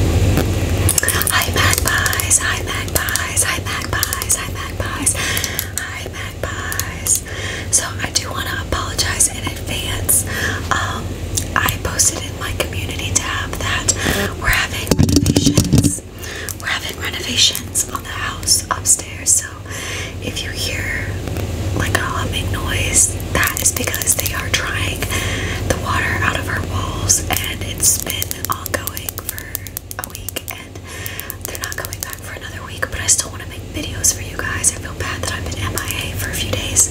Hi magpies, hi magpies, hi magpies, hi magpies, hi magpies. So I do want to apologize in advance. Um, I posted in my community tab that we're having renovations. We're having renovations on the house upstairs. So if you hear like a humming noise, that is because they are trying the water out of our walls and it's been ongoing for a week and they're not coming back for another week but I still want to make videos for you guys. I feel bad that I've been MIA for a few days.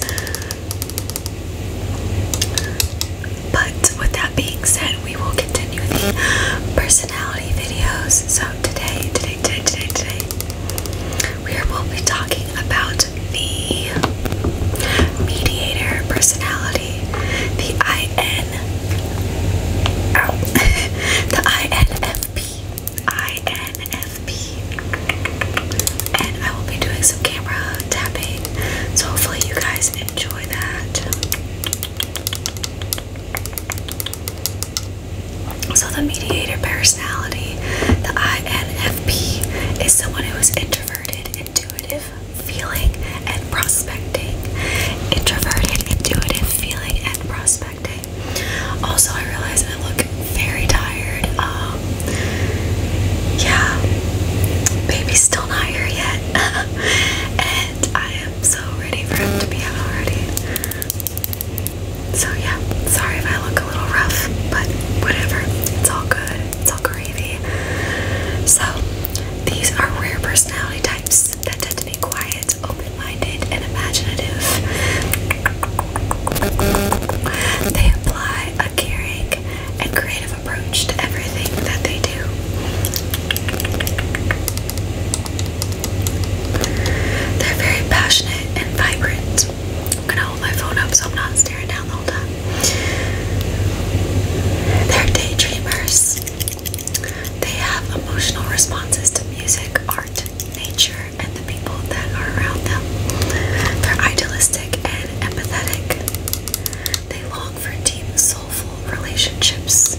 But with that being said, we will continue the personality videos. So today, today, today, today, today, we will be talking about the mediator personality, the IN, ow, the INFP, and I will be doing some camera tapping, so hopefully you guys enjoy that. So the mediator personality, the INFP. ENFP is someone who is introverted, intuitive, feeling, and prospecting. Introverted, intuitive, feeling, and prospecting. Also, I realize I look very tired. Um, yeah, baby's still not here yet, and I am so ready for him to be out already. So yeah, sorry if I look a little rough, but whatever. It's all good. It's all gravy. So these are rare personality types that tend to be quiet, open-minded, and imaginative. They apply a caring and creative approach to everything that they do. They're very passionate and vibrant. I'm gonna hold my phone up so I'm not staring down the whole time. They're daydreamers. They have emotional responses to music, art, nature, and the people that are around them. They're idealistic and empathetic. They long for deep, soulful relationships.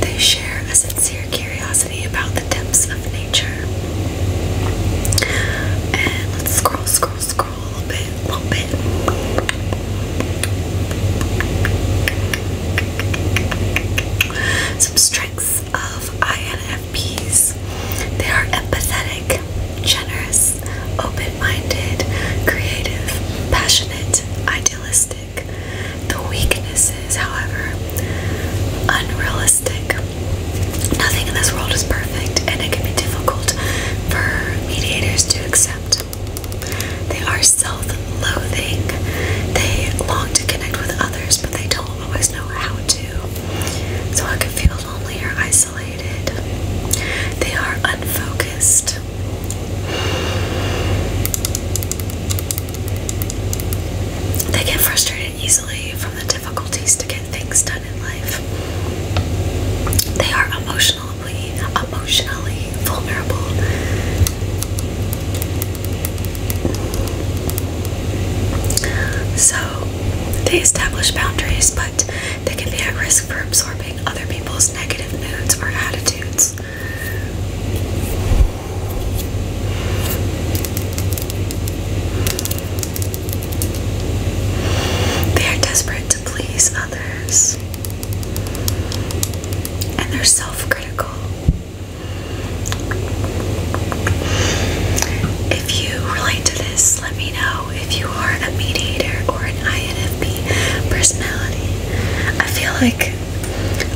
They share a sincere curiosity about the depths of nature. And let's scroll, scroll, scroll a little bit, little bit. Some strengths of INFPs. They are empathetic, generous, open minded, creative, passionate, idealistic. The weaknesses, however, unrealistic. Nothing in this world is perfect, and it can be difficult for mediators to accept. They are self loathing, they long to connect with others, but they don't always know how to. So I can feel lonely or isolated. They are unfocused. They get frustrated easily from the difficulties to get things done in life. They are emotionally emotionally vulnerable. So they establish boundaries, but they can be at risk for absorbing other people's negative moods or attitudes. They are desperate to please others, and they're self critical. If you relate to this, let me know if you are a mediator or an INFP personality. I feel like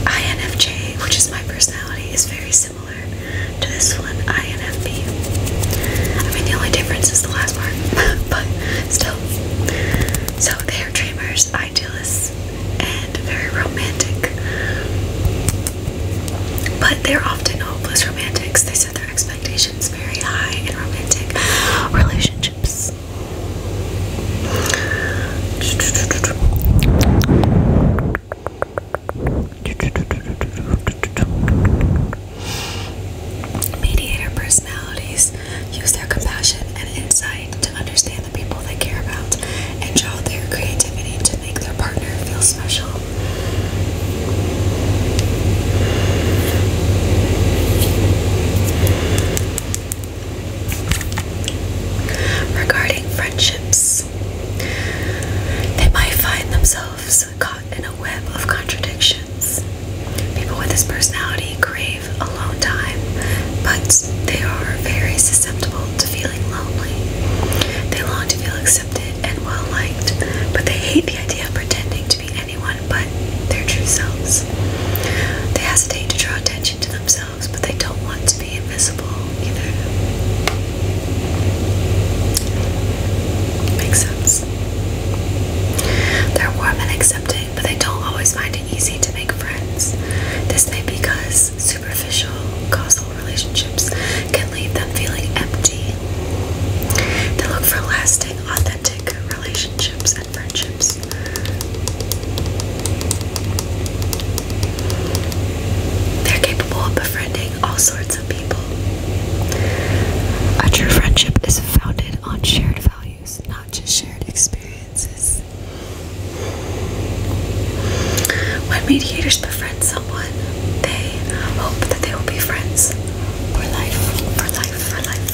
INFJ, which is my personality, is very similar to this one, INFP. I mean, the only difference is the last part, but still. So they are dreamers, idealists, and very romantic. But they're often hopeless romantics. They set their expectations very high in romantic relationships. Mediator personalities use their compassion and insight to understand the people they care about and draw their creativity to make their partner feel special. Regarding friendships, they might find themselves caught in a web of contradictions. People with this personality crave alone time, but they are very susceptible to feeling lonely. They long to feel accepted and well liked, but they hate the idea of pretending to be anyone but their true selves. They hesitate to draw attention to themselves, but they don't want to be invisible either. Makes sense. They're warm and accepting, but they don't always find it easy to make friends. This may be because superficial, causal relationships can leave them feeling empty. They look for lasting, authentic authentic relationships and friendships. They're capable of befriending all sorts of people. A true friendship is founded on shared values, not just shared experiences. When mediators befriend someone, someone, they hope that they will be friends for life, for life, for life,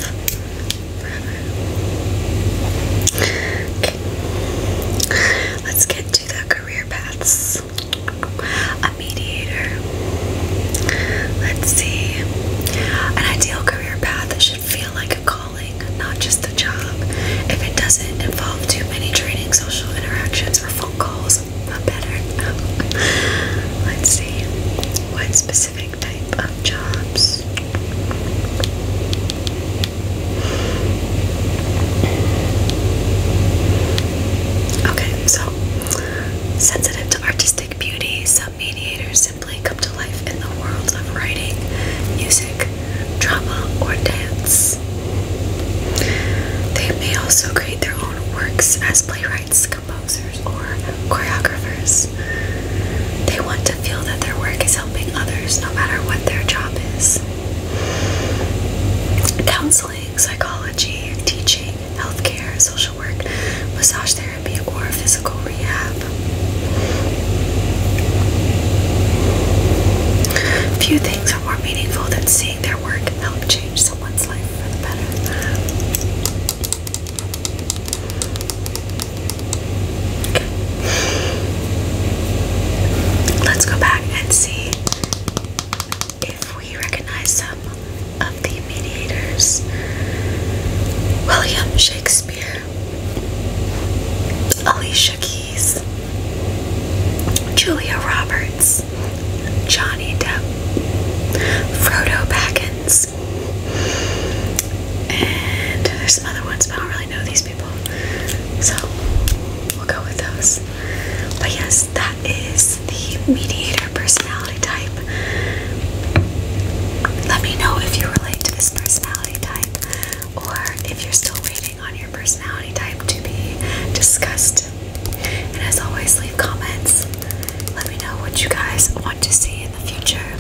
forever. Okay, let's get to the career paths. A mediator. Let's see. An ideal career path should feel like a calling, not just a job. If it doesn't involve too many training, social interactions, or phone calls, but better. let's see. What specific type of jobs? Okay, so sensitive to artistic beauty, some mediators simply come to life in the world of writing, music, drama, or dance. They may also create their own works as playwrights, composers, or choreographers. They want to feel that their work is helping others no matter what their job is. Counseling, psychology, teaching, healthcare, social work, massage therapy, or physical rehab. Few things are more meaningful than seeing their work help change Let's go back and see if we recognize some of the mediators. William Shakespeare, Alicia Keys. Julia Roberts, Johnny Depp, Frodo Baggins, and there's some other ones, but I don't really know these people. So we'll go with those. But yes, that is the mediator personality type. Let me know if you relate to this personality type or if you're still waiting on your personality type to be discussed. And as always, leave comments. Let me know what you guys want to see in the future.